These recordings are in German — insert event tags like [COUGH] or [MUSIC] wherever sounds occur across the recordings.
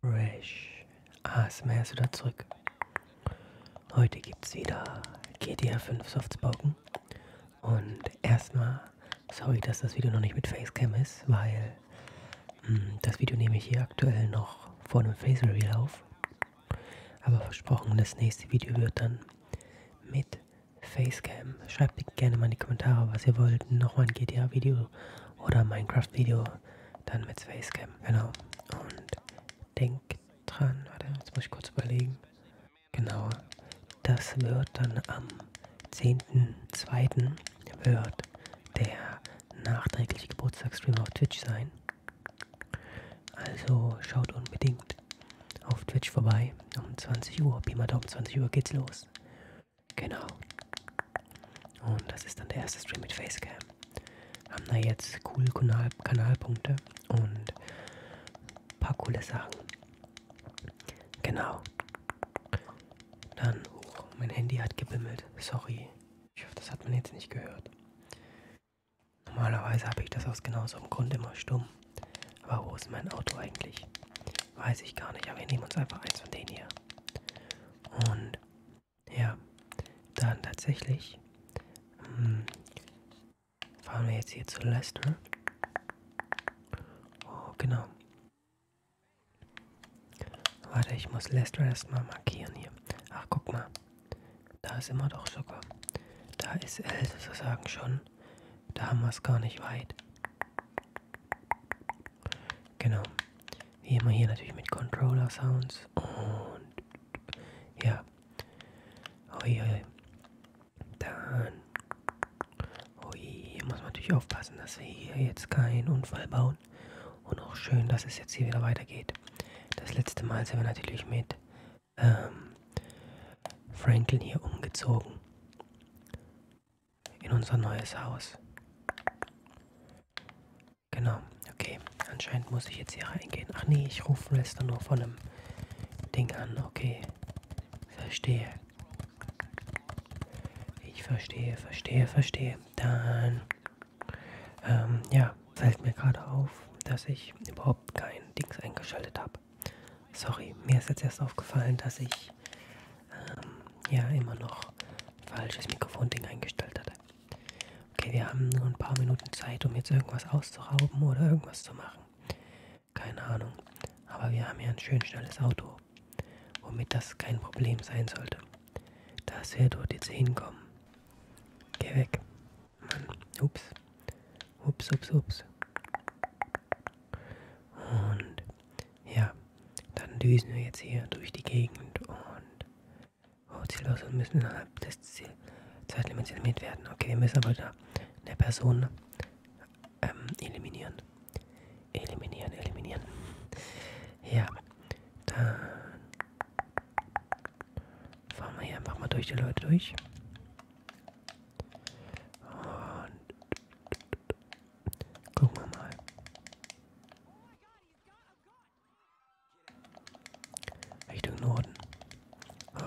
Fresh ASMR ist wieder zurück. Heute gibt's wieder GTA 5 Softspoken. Und erstmal, sorry, dass das Video noch nicht mit Facecam ist, weil mh, hm, das Video nehme ich hier aktuell noch vor einem Face Reveal auf. Aber versprochen, das nächste Video wird dann mit Facecam. Schreibt gerne mal in die Kommentare, was ihr wollt. Nochmal ein GTA-Video oder Minecraft-Video dann mit Spacecam, genau. Und denkt dran, warte, jetzt muss ich kurz überlegen. Genau, das wird dann am 10.02. wird der nachträgliche Geburtstagsstream auf Twitch sein. Also schaut unbedingt auf Twitch vorbei. Um 20 Uhr, Pi mal Daumen, 20 Uhr geht's los. Genau. Und das ist dann der erste Stream mit Facecam. Haben da jetzt cool Kanal Kanalpunkte und ein paar coole Sachen. Genau. Dann, oh, mein Handy hat gebimmelt. Sorry. Ich hoffe, das hat man jetzt nicht gehört. Normalerweise habe ich das aus genau so einem Grund immer stumm. Aber wo ist mein Auto eigentlich? Weiß ich gar nicht, aber wir nehmen uns einfach eins von denen hier. Und ja, dann tatsächlich mh, hm, fahren wir jetzt hier zu Leicester. Oh, genau. Warte, ich muss Leicester erstmal markieren hier. Ach, guck mal. Da ist immer doch sogar. Da ist L sozusagen schon. Da haben wir es gar nicht weit. Genau. Wie immer hier natürlich mit Controller Sounds und ja. Oi, oi. Dann. Oi, hier muss man natürlich aufpassen, dass wir hier jetzt keinen Unfall bauen. Und auch schön, dass es jetzt hier wieder weitergeht. Das letzte Mal sind wir natürlich mit ähm, Franklin hier umgezogen in unser neues Haus. Genau, okay. Anscheinend muss ich jetzt hier reingehen. Ach nee, ich rufe Rester nur von einem Ding an. Okay, verstehe. Ich verstehe, verstehe, verstehe. Dann, ähm, ja, fällt mir gerade auf, dass ich überhaupt kein Dings eingeschaltet habe. Sorry, mir ist jetzt erst aufgefallen, dass ich ähm, ja immer noch falsches Mikrofonding eingestellt hatte. Okay, wir haben nur ein paar Minuten Zeit, um jetzt irgendwas auszurauben oder irgendwas zu machen. Keine Ahnung. Aber wir haben ja ein schön schnelles Auto, womit das kein Problem sein sollte. Dass wir dort jetzt hinkommen. Geh weg. Mann. Ups. Ups, ups, ups. Und ja, dann düsen wir jetzt hier durch die Gegend und oh, ziellos und müssen innerhalb des Ziel Zeitlimits eliminiert werden. Okay, wir müssen aber da eine Person ähm, eliminieren. Eliminieren, eliminieren. Ja, dann fahren wir hier einfach mal durch die Leute durch. Und gucken wir mal. Richtung Norden.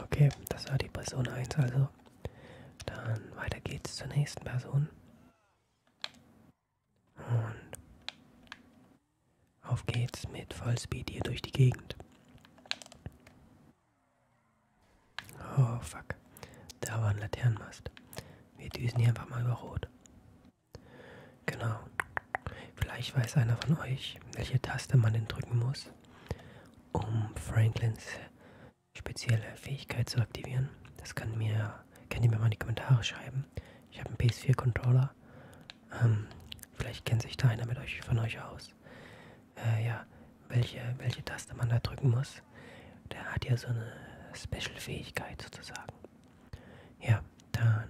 Okay, das war die Person 1 also. Dann weiter geht's zur nächsten Person. Und auf geht's mit Vollspeed hier durch die Gegend. Oh fuck. Da war ein Laternenmast. Wir düsen hier einfach mal über Rot. Genau. Vielleicht weiß einer von euch, welche Taste man denn drücken muss, um Franklins spezielle Fähigkeit zu aktivieren. Das kann mir, könnt ihr mir mal in die Kommentare schreiben. Ich habe einen PS4-Controller. Ähm, vielleicht kennt sich da einer mit euch von euch aus. Äh, ja, welche, welche Taste man da drücken muss, der hat ja so eine Special-Fähigkeit sozusagen. Ja, dann.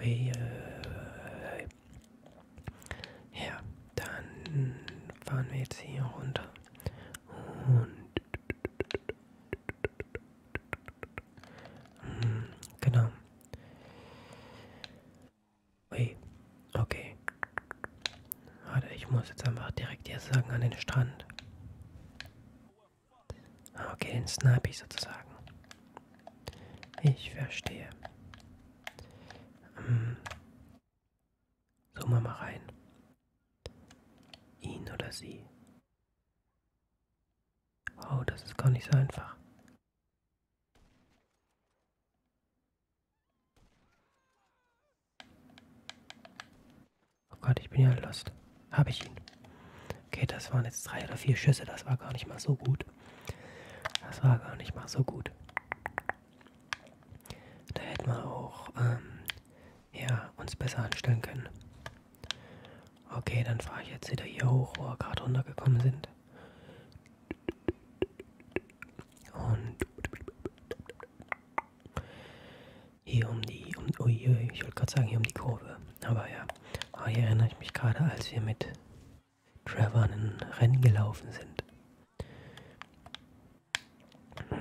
Äh, äh, äh. Ja, dann fahren wir jetzt hier runter. Und. Hm, genau. Okay. Warte, ich muss jetzt einfach direkt hier sagen an den Strand. Ah, okay, den snipe ich sozusagen. Ich verstehe. Hm. So, mal mal rein. Ihn oder sie. Oh, das ist gar nicht so einfach. Oh Gott, ich bin ja lost. Habe ich ihn. Okay, das waren jetzt drei oder vier Schüsse. Das war gar nicht mal so gut. Das war gar nicht mal so gut. Da hätten wir auch ähm, ja, uns besser anstellen können. Okay, dann fahre ich jetzt wieder hier hoch, wo wir gerade runtergekommen sind. Und hier um die, um, oh je, ich wollte gerade sagen, hier um die Kurve. Aber ja, aber ah, hier erinnere ich mich gerade, als wir mit Trevor ein Rennen gelaufen sind.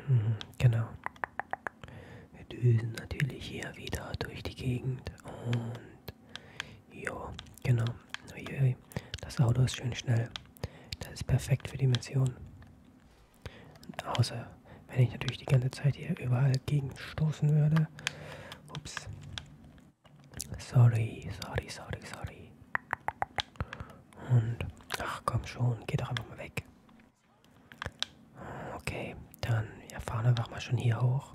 Mhm, genau. Wir düsen natürlich hier wieder durch die Gegend und jo, genau. Uiui, das Auto ist schön schnell. Das ist perfekt für die Mission. Außer wenn ich natürlich die ganze Zeit hier überall gegenstoßen würde. Ups. Sorry, sorry, sorry, sorry. Und, ach komm schon, geh doch einfach mal weg. Okay, dann, wir fahren einfach mal schon hier hoch.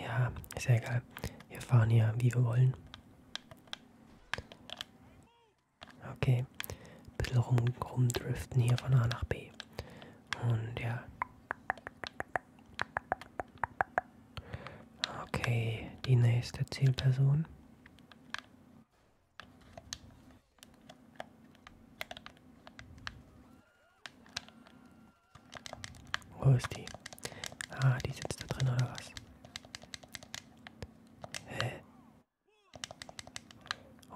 Ja, ist ja egal. Wir fahren hier, wie wir wollen. Okay, ein bisschen rum, rumdriften hier von A nach B. Und ja. Okay, die nächste Zielperson. Wo ist die? Ah, die sitzt da drin oder was? Hä?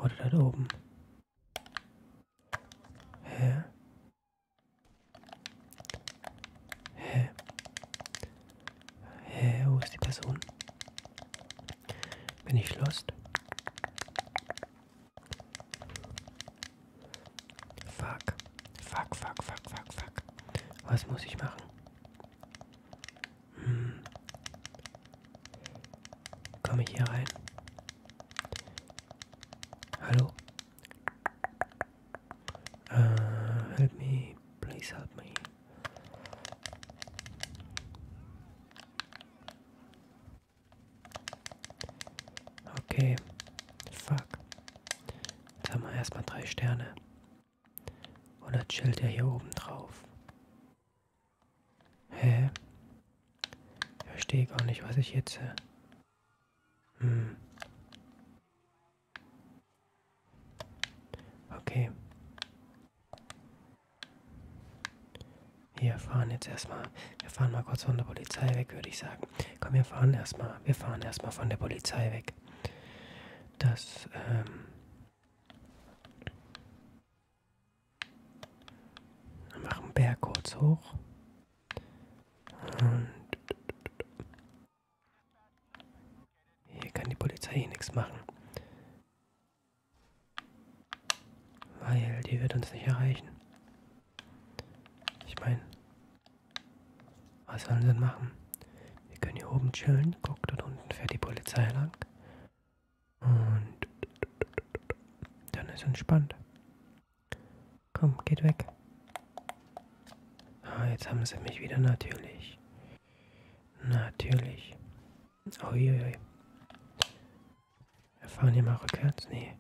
Oder da oben? Hä? Hä? Hä? Wo ist die Person? Bin ich lost? Fuck. Fuck, fuck, fuck, fuck, fuck. Was muss ich machen? Hm. Komme ich hier rein? Hallo? Uh, help me, please help me. Okay. Fuck. Jetzt haben wir erstmal drei Sterne. Und das chillt ja hier oben drauf. Hä? Ich verstehe gar nicht, was ich jetzt. Äh, hm. Okay. Wir fahren jetzt erstmal. Wir fahren mal kurz von der Polizei weg, würde ich sagen. Komm, wir fahren erstmal. Wir fahren erstmal von der Polizei weg. Das, ähm. Wir machen Berg kurz hoch. Und. Hier kann die Polizei eh nichts machen. Weil die wird uns nicht erreichen. Ich meine, was sollen wir denn machen? Wir können hier oben chillen. Guck, dort unten fährt die Polizei lang. Und dann ist entspannt. Komm, geht weg. Ah, jetzt haben sie mich wieder natürlich. Natürlich. Uiuiui. Wir fahren hier mal rückwärts. Nee.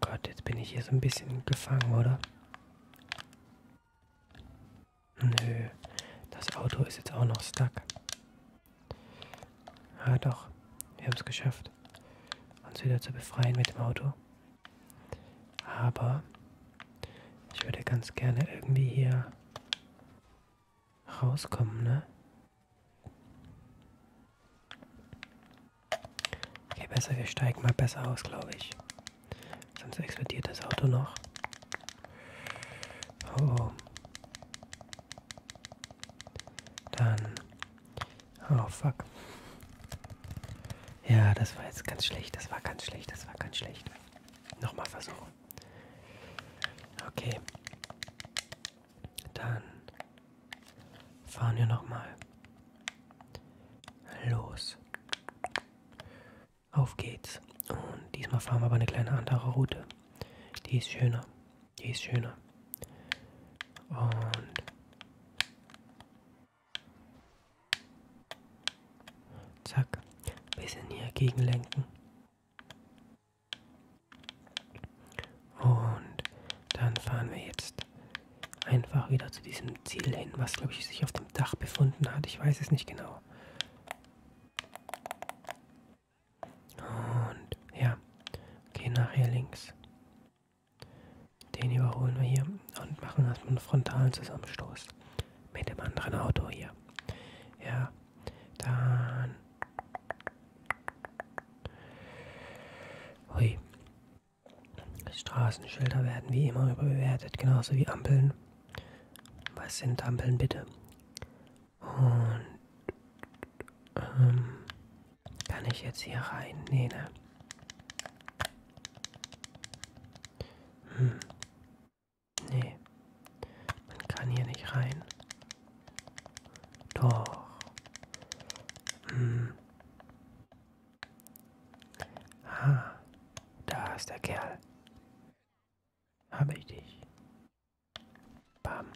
Gott, jetzt bin ich hier so ein bisschen gefangen, oder? Nö, das Auto ist jetzt auch noch stuck. Ah doch, wir haben es geschafft, uns wieder zu befreien mit dem Auto. Aber ich würde ganz gerne irgendwie hier rauskommen, ne? Okay, besser, wir steigen mal besser aus, glaube ich. Sonst explodiert das Auto noch. Oh, oh. Dann. Oh, fuck. Ja, das war jetzt ganz schlecht. Das war ganz schlecht. Das war ganz schlecht. Nochmal versuchen. Okay. Dann fahren wir nochmal los. Auf geht's. Und diesmal fahren wir aber eine kleine andere Route. Die ist schöner. Die ist schöner. Und zack, bisschen hier gegenlenken. Und dann fahren wir jetzt einfach wieder zu diesem Ziel hin, was glaube ich sich auf dem Dach befunden hat. Ich weiß es nicht genau. Und ja, gehen nachher links. Den überholen wir hier und machen erstmal einen frontalen Zusammenstoß mit dem anderen Auto hier. Ja, dann Hui. Straßenschilder werden wie immer überbewertet, genauso wie Ampeln. Was sind Ampeln bitte? Und ähm, kann ich jetzt hier rein? Nee, ne? Hm. Nee. Man kann hier nicht rein. Doch. Hm. Ah, da ist der Kerl. Habe ich dich. Bam.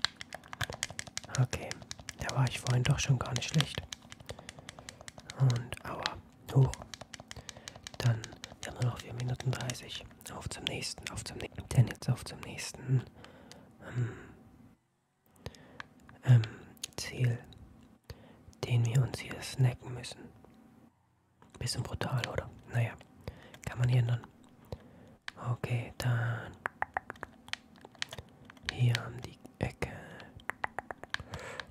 Okay, da war ich vorhin doch schon gar nicht schlecht. Und aua, hoch. Dann wir haben wir noch 4 Minuten 30. Auf zum nächsten, auf zum nächsten. Denn jetzt auf zum nächsten. Hm. ähm, Ziel, den wir uns hier snacken müssen. Bisschen brutal, oder? Naja, kann man hier ändern. Okay, dann hier haben die Ecke.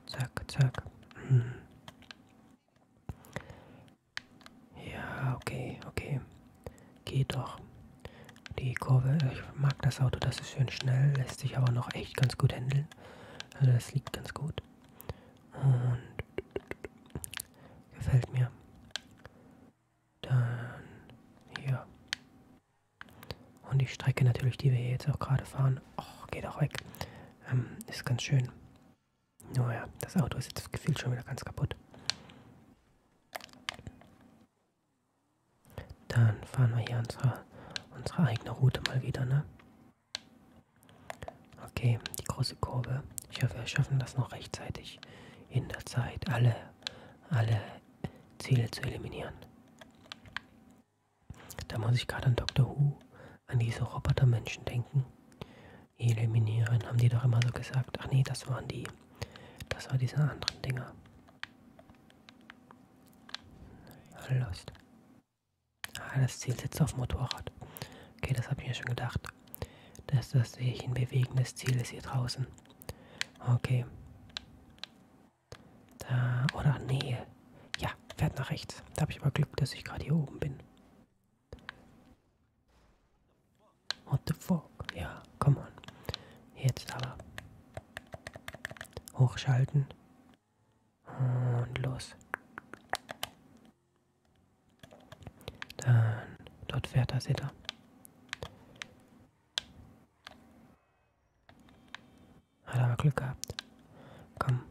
Zack, zack. Hm. Ja, okay, okay. Geht doch. Die Kurve, ich mag das Auto, das ist schön schnell, lässt sich aber noch echt ganz gut handeln. Also das liegt ganz gut. Und gefällt mir. Dann hier. Und die Strecke natürlich, die wir hier jetzt auch gerade fahren. Och, geht auch weg. Ähm, ist ganz schön. Naja, das Auto ist jetzt gefühlt schon wieder ganz kaputt. Dann fahren wir hier unsere, unsere eigene Route mal wieder, ne? Okay, die große Kurve. Ich hoffe, wir schaffen das noch rechtzeitig in der Zeit, alle, alle Ziele zu eliminieren. Da muss ich gerade an Dr. Who, an diese Robotermenschen denken. Eliminieren, haben die doch immer so gesagt. Ach nee, das waren die das war diese anderen Dinger. Lost. Ah, das Ziel sitzt auf Motorrad. Okay, das habe ich mir schon gedacht. Dass das sehe ich ein bewegendes Ziel ist hier draußen. Okay. Da, oder nee. Ja, fährt nach rechts. Da habe ich aber Glück, dass ich gerade hier oben bin. What the fuck? Ja, come on. Jetzt aber. Hochschalten. Und los. Dann, dort fährt er, seht ihr. Hat aber Glück gehabt. Komm.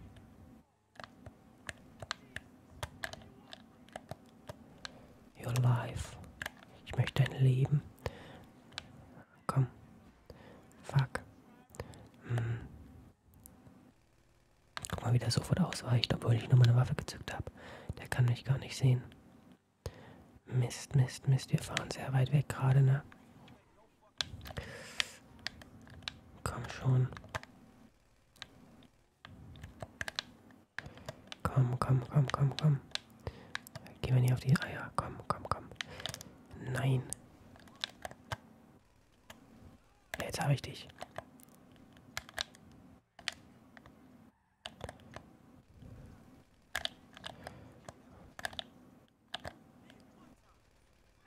Your life. Ich möchte dein Leben. Komm. Fuck. Hm. Guck mal, wie der sofort ausweicht, obwohl ich nur meine Waffe gezückt habe. Der kann mich gar nicht sehen. Mist, Mist, Mist. Wir fahren sehr weit weg gerade, ne? Komm schon. Komm, komm, komm, komm, komm. Gehen wir nicht auf die Eier. Komm, komm, komm. Nein. Jetzt habe ich dich.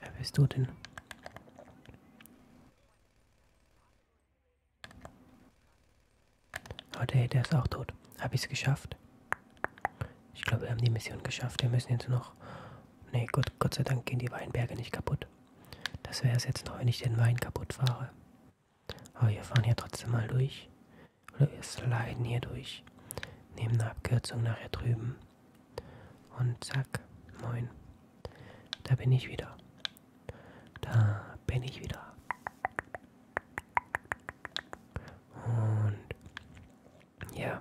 Wer bist du denn? Oh, der, der ist auch tot. Habe ich es geschafft? Ich glaube, wir haben die Mission geschafft. Wir müssen jetzt noch... Nee, gut, Gott sei Dank gehen die Weinberge nicht kaputt. Das wäre es jetzt noch, wenn ich den Wein kaputt fahre. Aber wir fahren hier trotzdem mal durch. Oder wir sliden hier durch. Nehmen eine Abkürzung nachher drüben. Und zack, moin. Da bin ich wieder. Da bin ich wieder. Und ja.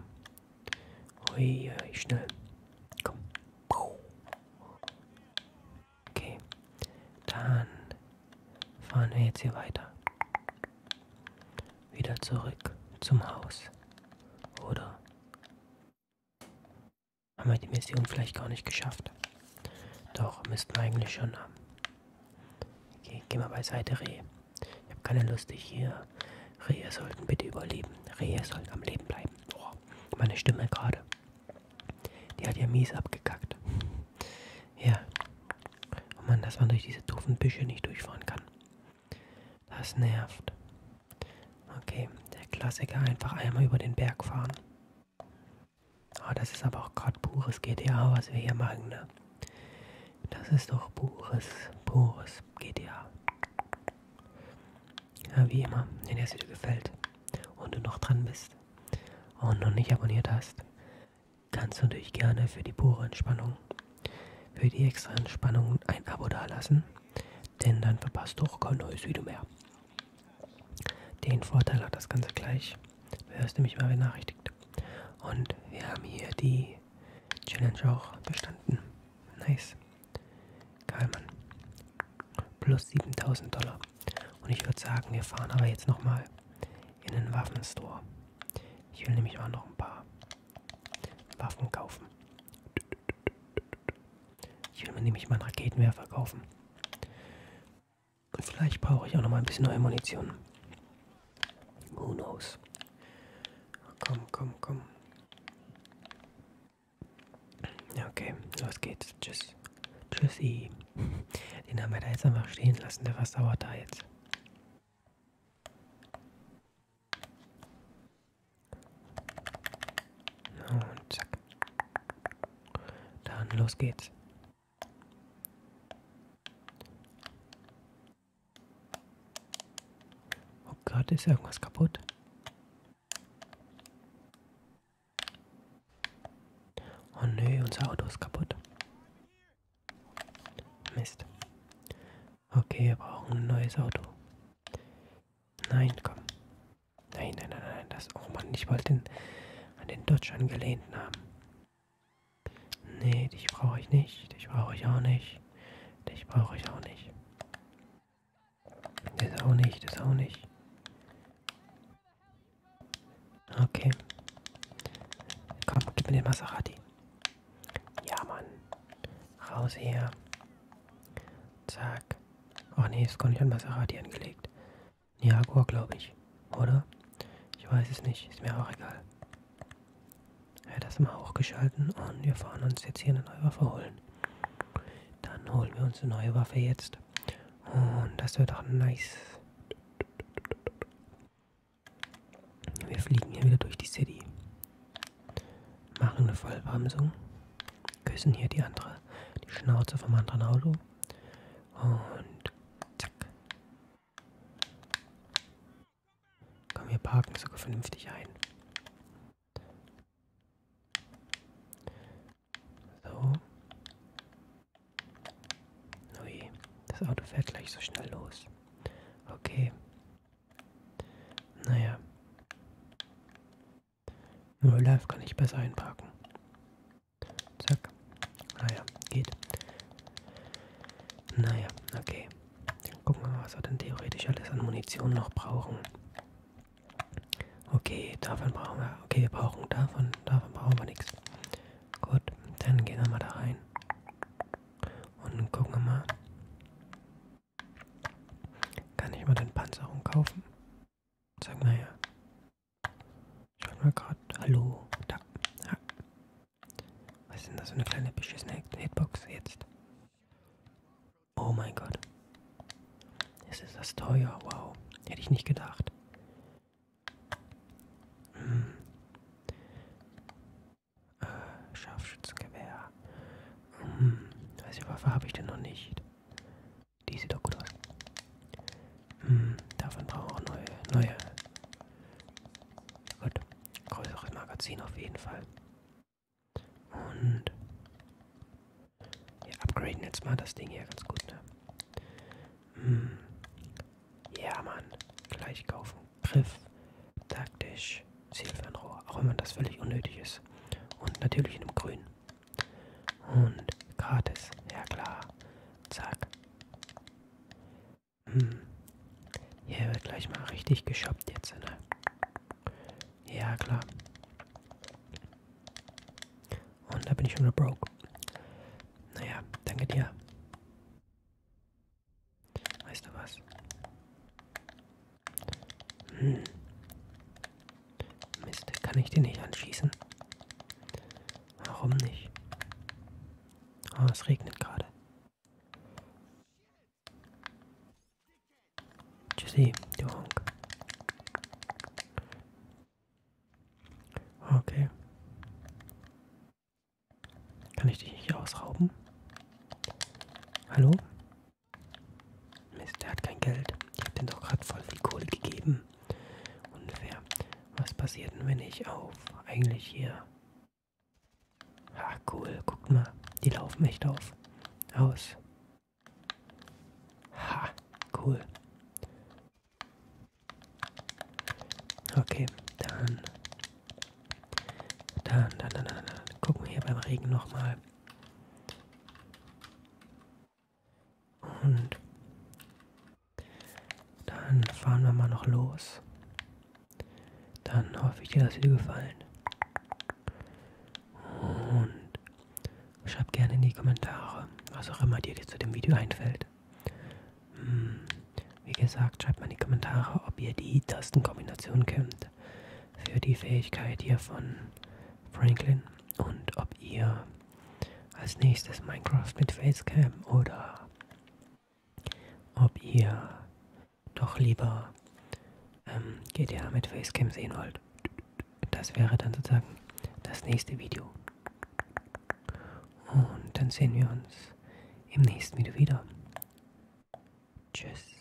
Ui, ui, schnell. Komm. Okay. Dann fahren wir jetzt hier weiter. Wieder zurück zum Haus. Oder? Haben wir die Mission vielleicht gar nicht geschafft? Doch, müssten wir eigentlich schon haben. Okay, geh mal beiseite, Reh. Ich habe keine Lust, dich hier. Rehe sollten bitte überleben. Rehe sollten am Leben bleiben. Oh, meine Stimme gerade. Die hat ja mies abgekackt. [LAUGHS] Ja. Oh Mann, dass man durch diese doofen Büsche nicht durchfahren kann. Das nervt. Okay, der Klassiker, einfach einmal über den Berg fahren. Ah, das ist aber auch gerade pures GTA, was wir hier machen, ne? Das ist doch pures, pures GTA. Ja, wie immer, wenn dir das Video gefällt und du noch dran bist und noch nicht abonniert hast, kannst du dich gerne für die pure Entspannung, für die extra Entspannung ein Abo dalassen, denn dann verpasst du auch kein neues Video mehr. Den Vorteil hat das Ganze gleich. Du wirst nämlich mal benachrichtigt. Und wir haben hier die Challenge auch bestanden. Nice. Geil, Mann. Plus 7000 Dollar. Und ich würde sagen, wir fahren aber jetzt nochmal in den Waffenstore. Ich will nämlich auch noch ein paar Waffen kaufen. Ich will mir nämlich mal einen Raketenwerfer kaufen. Und vielleicht brauche ich auch noch mal ein bisschen neue Munition. Who knows? Komm, komm, komm. Ja, okay, los geht's. Tschüss. Tschüssi. Den haben wir da jetzt einfach stehen lassen. Der was dauert da jetzt? Und zack. Dann los geht's. Oh Gott, ist irgendwas kaputt? Oh nö, unser Auto ist kaputt. Mist. Okay, wir brauchen ein neues Auto. Nein, komm. Nein, nein, nein, nein, das. Oh Mann, ich wollte den, an den Dodge angelehnt haben. Nee, dich brauche ich nicht. Dich brauche ich auch nicht. Dich brauche ich auch nicht. Das auch nicht, das auch nicht. Okay. Komm, gib mir den Maserati. Ja, Mann. Raus hier. Zack. Ach oh nee, ist gar nicht an Maserati angelegt. Jaguar, glaube ich. Oder? Ich weiß es nicht. Ist mir auch egal. Ja, das haben wir auch geschalten und wir fahren uns jetzt hier eine neue Waffe holen. Dann holen wir uns eine neue Waffe jetzt. Und das wird auch nice. Wir fliegen hier wieder durch die City. Machen eine Vollbremsung küssen hier die andere, die Schnauze vom anderen Auto. Und zack. Komm, wir parken sogar vernünftig ein. So. Ui, oh das Auto fährt gleich so schnell los. Okay. Naja. Nur live kann ich besser einparken. Zack. Naja, geht. Naja, okay. Dann gucken wir mal, was wir denn theoretisch alles an Munition noch brauchen. Okay, davon brauchen wir. Okay, wir brauchen davon, davon brauchen wir nichts. Gut, dann gehen wir mal da rein. Und gucken wir mal. Kann ich mal den Panzerung kaufen? Sag mal her. Schaut mal gerade. Hallo. Da. Ja. Was ist denn das für eine kleine beschissene Hitbox jetzt? Oh mein Gott. Es ist das teuer. Wow. Hätte ich nicht gedacht. Hm. Äh, Scharfschützengewehr. Hm. Welche Waffe habe ich denn noch nicht? Die sieht doch gut aus. Hm, davon brauchen wir auch neue. neue. Gut. Größeres Magazin auf jeden Fall. Und wir upgraden jetzt mal das Ding hier ganz gut, ne? Hm. Ja, Mann. Gleich kaufen. Griff. Taktisch. Zielfernrohr. Auch wenn man das völlig unnötig ist. Und natürlich in einem Grün. Und gratis, ja klar. Zack. Hm. Hier wird gleich mal richtig geshoppt jetzt, ne? Ja klar. Und da bin ich schon wieder broke. Naja, danke dir. Weißt du was? Hm. Mist, kann ich den nicht anschießen? Warum nicht? Oh, es regnet gerade. Tschüssi, du Honk. Okay. Kann ich dich nicht ausrauben? Hallo? Mist, der hat kein Geld. Ich habe den doch gerade voll viel Kohle gegeben. Unfair. Was passiert denn, wenn ich auf eigentlich hier... Ah, cool. Guckt mal. Die laufen echt auf. Aus. Ha, cool. Okay, dann. Dann, dann, dann, dann, dann. Gucken wir hier beim Regen nochmal. Und dann fahren wir mal noch los. Dann hoffe ich dir, dass dir gefallen. Und schreib gerne in die Kommentare, was auch immer dir zu dem Video einfällt. Hm, wie gesagt, schreibt mal in die Kommentare, ob ihr die Tastenkombination kennt. Für die Fähigkeit hier von Franklin und ob ihr als nächstes Minecraft mit Facecam oder ob ihr doch lieber ähm, GTA mit Facecam sehen wollt. Das wäre dann sozusagen das nächste Video. Und dann sehen wir uns im nächsten Video wieder. Tschüss.